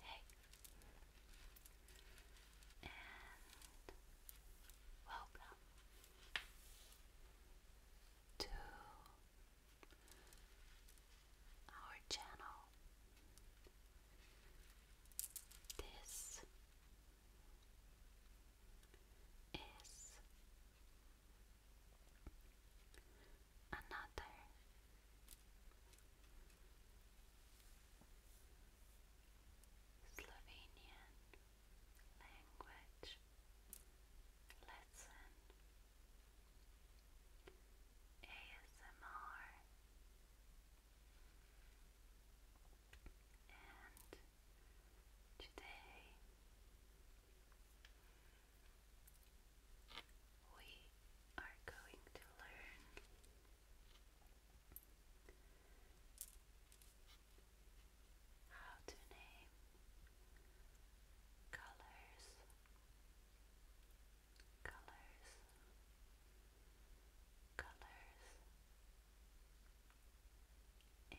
Hey, and welcome to our channel. This is another Slovenian language lesson ASMR and today we are going to learn how to name colors, colors, colors in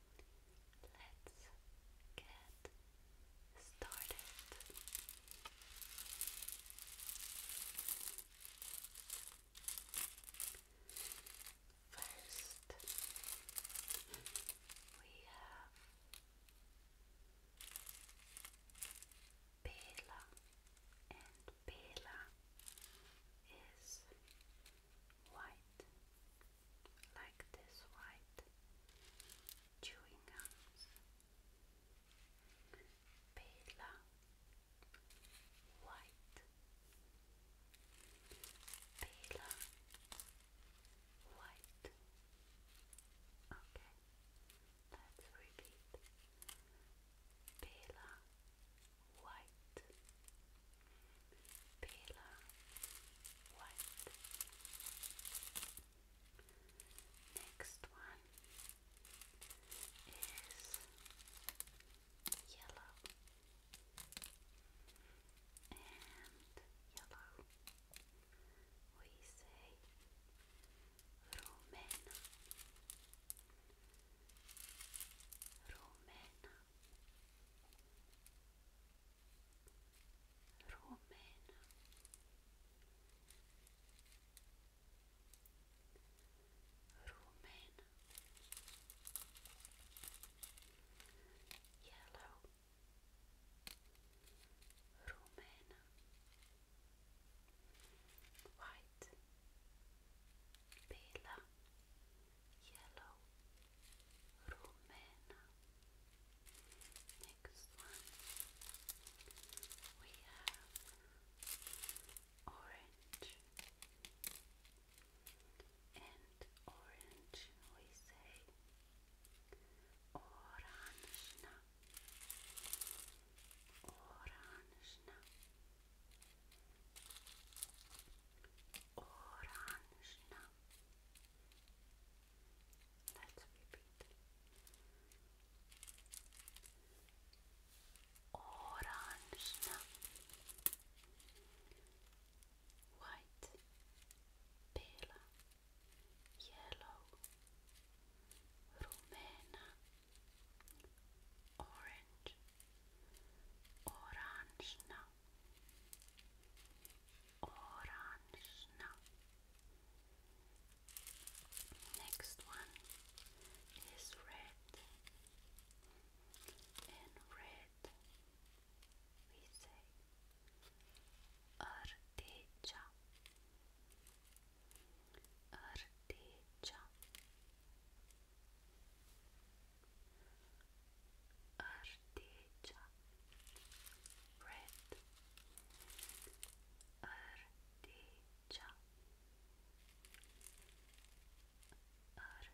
Let's get started. First, we have Bela, and Bela is white, like this white chewing gums. Pela, white. Pela, white. Okay, let's repeat. Pela, white, paler white. Next one is yellow and yellow. We say Romena, Romena, Roman Roman Yellow Roman White Bela yellow, rumena. Next one, we have orange and orange we say orange orange Orange. Let's repeat. Orange. White. Pale. Yellow. Rumena. Orange oranžna oranžna next one is red in red we say ardecha ardecha teacher our teacher red our teacher our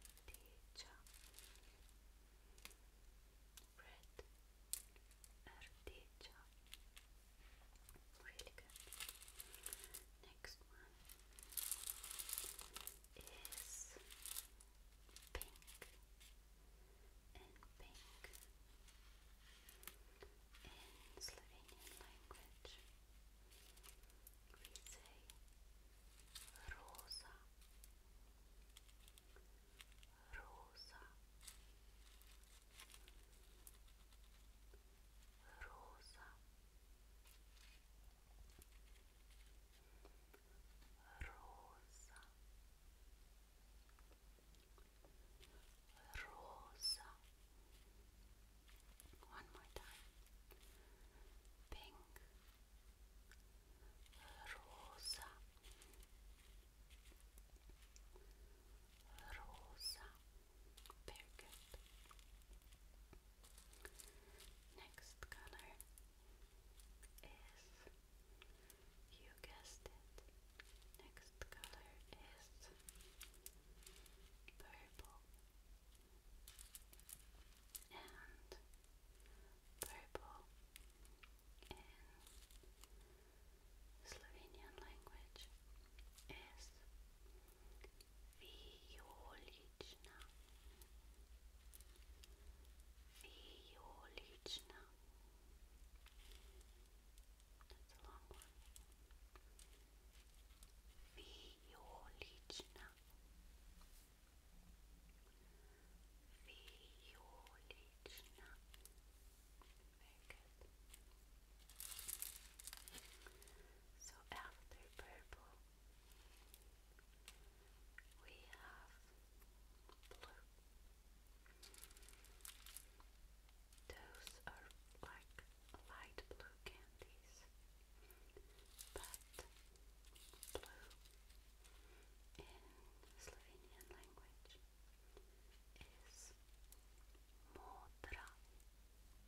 really good next one is pink and pink in Slovenian language. We say rosa, rosa, rosa. Rosa, Rosa. One more time. Pink, Rosa, Rosa. Very good. Next color is, you guessed it, next color is purple. And purple in Slovenian language is Wioliczna Wioliczna That's a long one Wioliczna Wioliczna Very good so after purple, we have blue. Those are like light blue candies, but blue in Slovenian language is modra.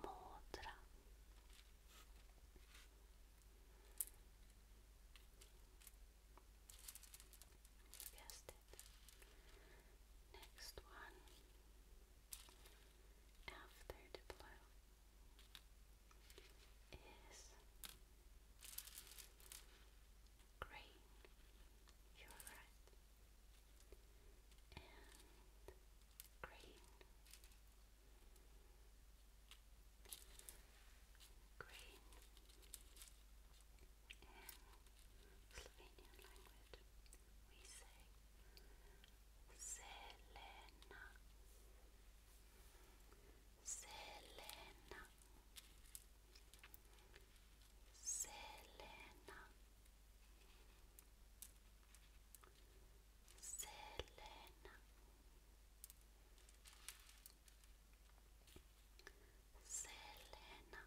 mudra you guessed it next one after blue is green you're right and green, green, in Slovenian language we say Selena, Selena, Selena. Selena Selena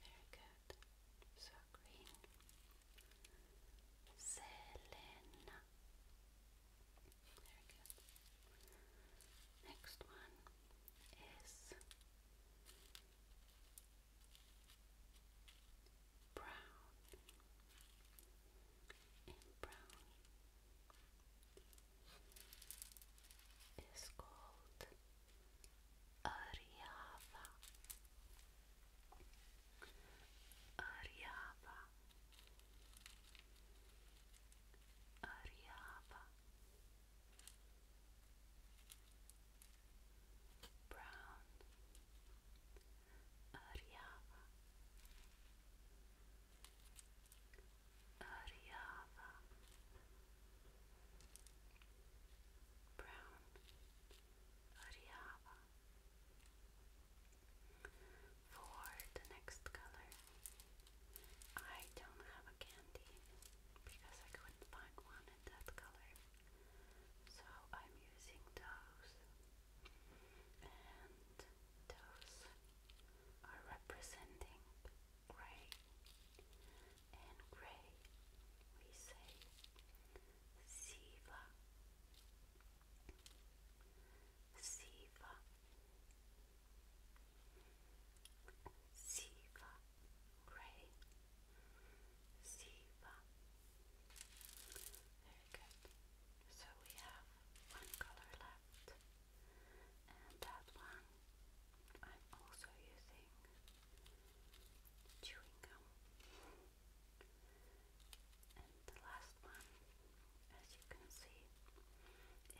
Very good. So green Selena Very good. Next one is brown and brown is called Ariava. Ariava. Ariava brown Ariava Ariava brown Ariava for the next color I don't have a candy because I couldn't find one in that color. So I'm using those. And those are representing gray. And gray we say Siva. Siva. Siva Gray. Siva. Very good. So we have one color left, and that one I'm also using chewing gum. And the last one, as you can see, is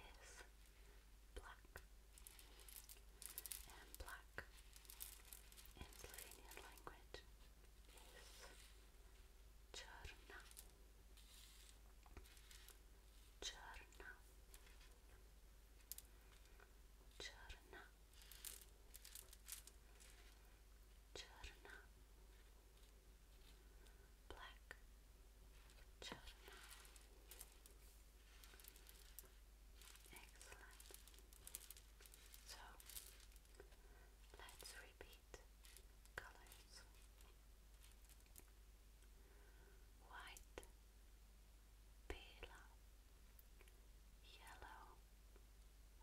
black, and black in Slovenian language is črna, črna, črna, črna, black, črna. Excellent. So let's repeat colors white, pale, yellow,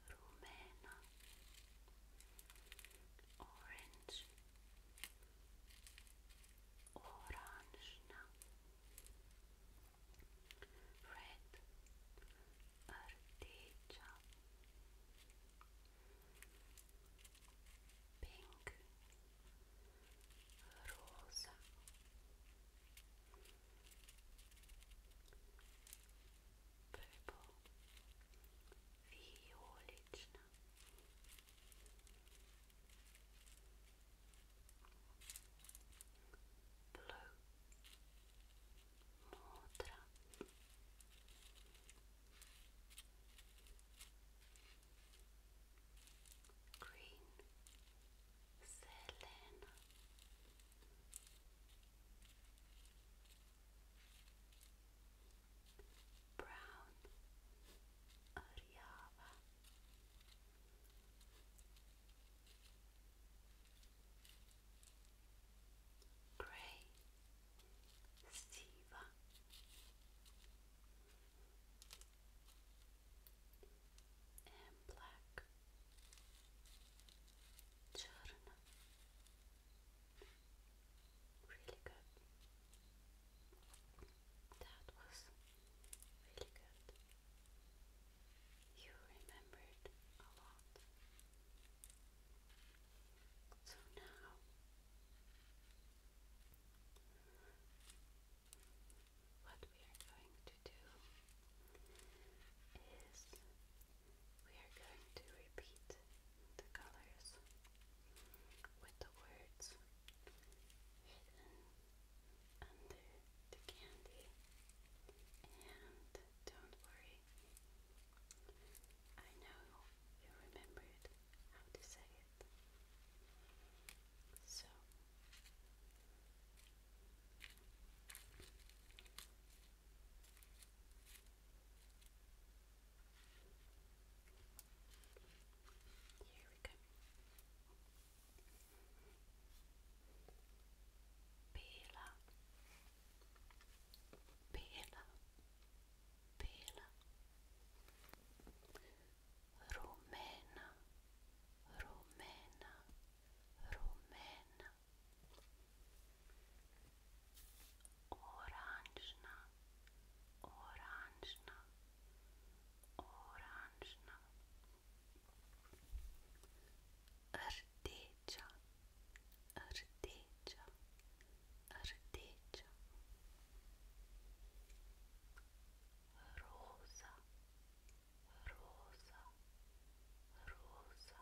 rumena, orange, oranžna red rdeča pink roza purple violična blue, modrá, green, zelená, brown Ariava Grey Siva and black Churna. Really good. That was really good. You remembered a lot. So now what we are going to do is we are going to repeat the colors with the words hidden under the candy. And don't worry, I know you remembered how to say it. So, here we go. Romena, Romena, Romena oranžna, oranžna, oranžna, rdeča, rdeča, rdeča, roza, roza, roza,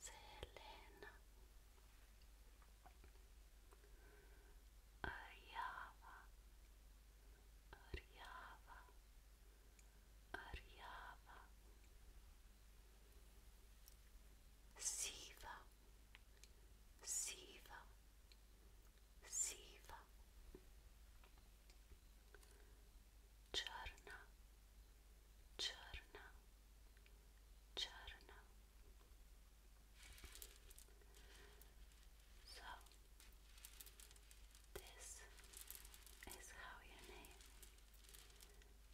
Selena Aryava Aryava Aryava Siva Siva Siva czarna, czarna, czarna. So, this is how you name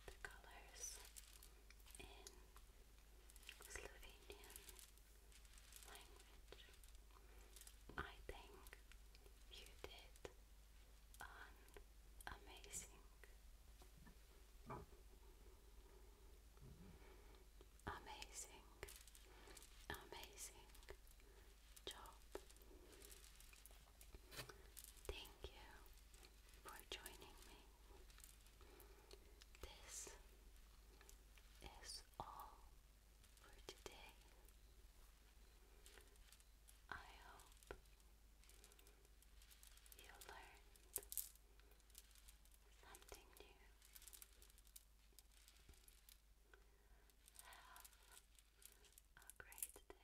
the colors in Slovenian language. I think you did amazing, amazing, amazing job. Thank you for joining me. This is all for today. I hope you learned something new. Have a great day and see you next time. Bye bye.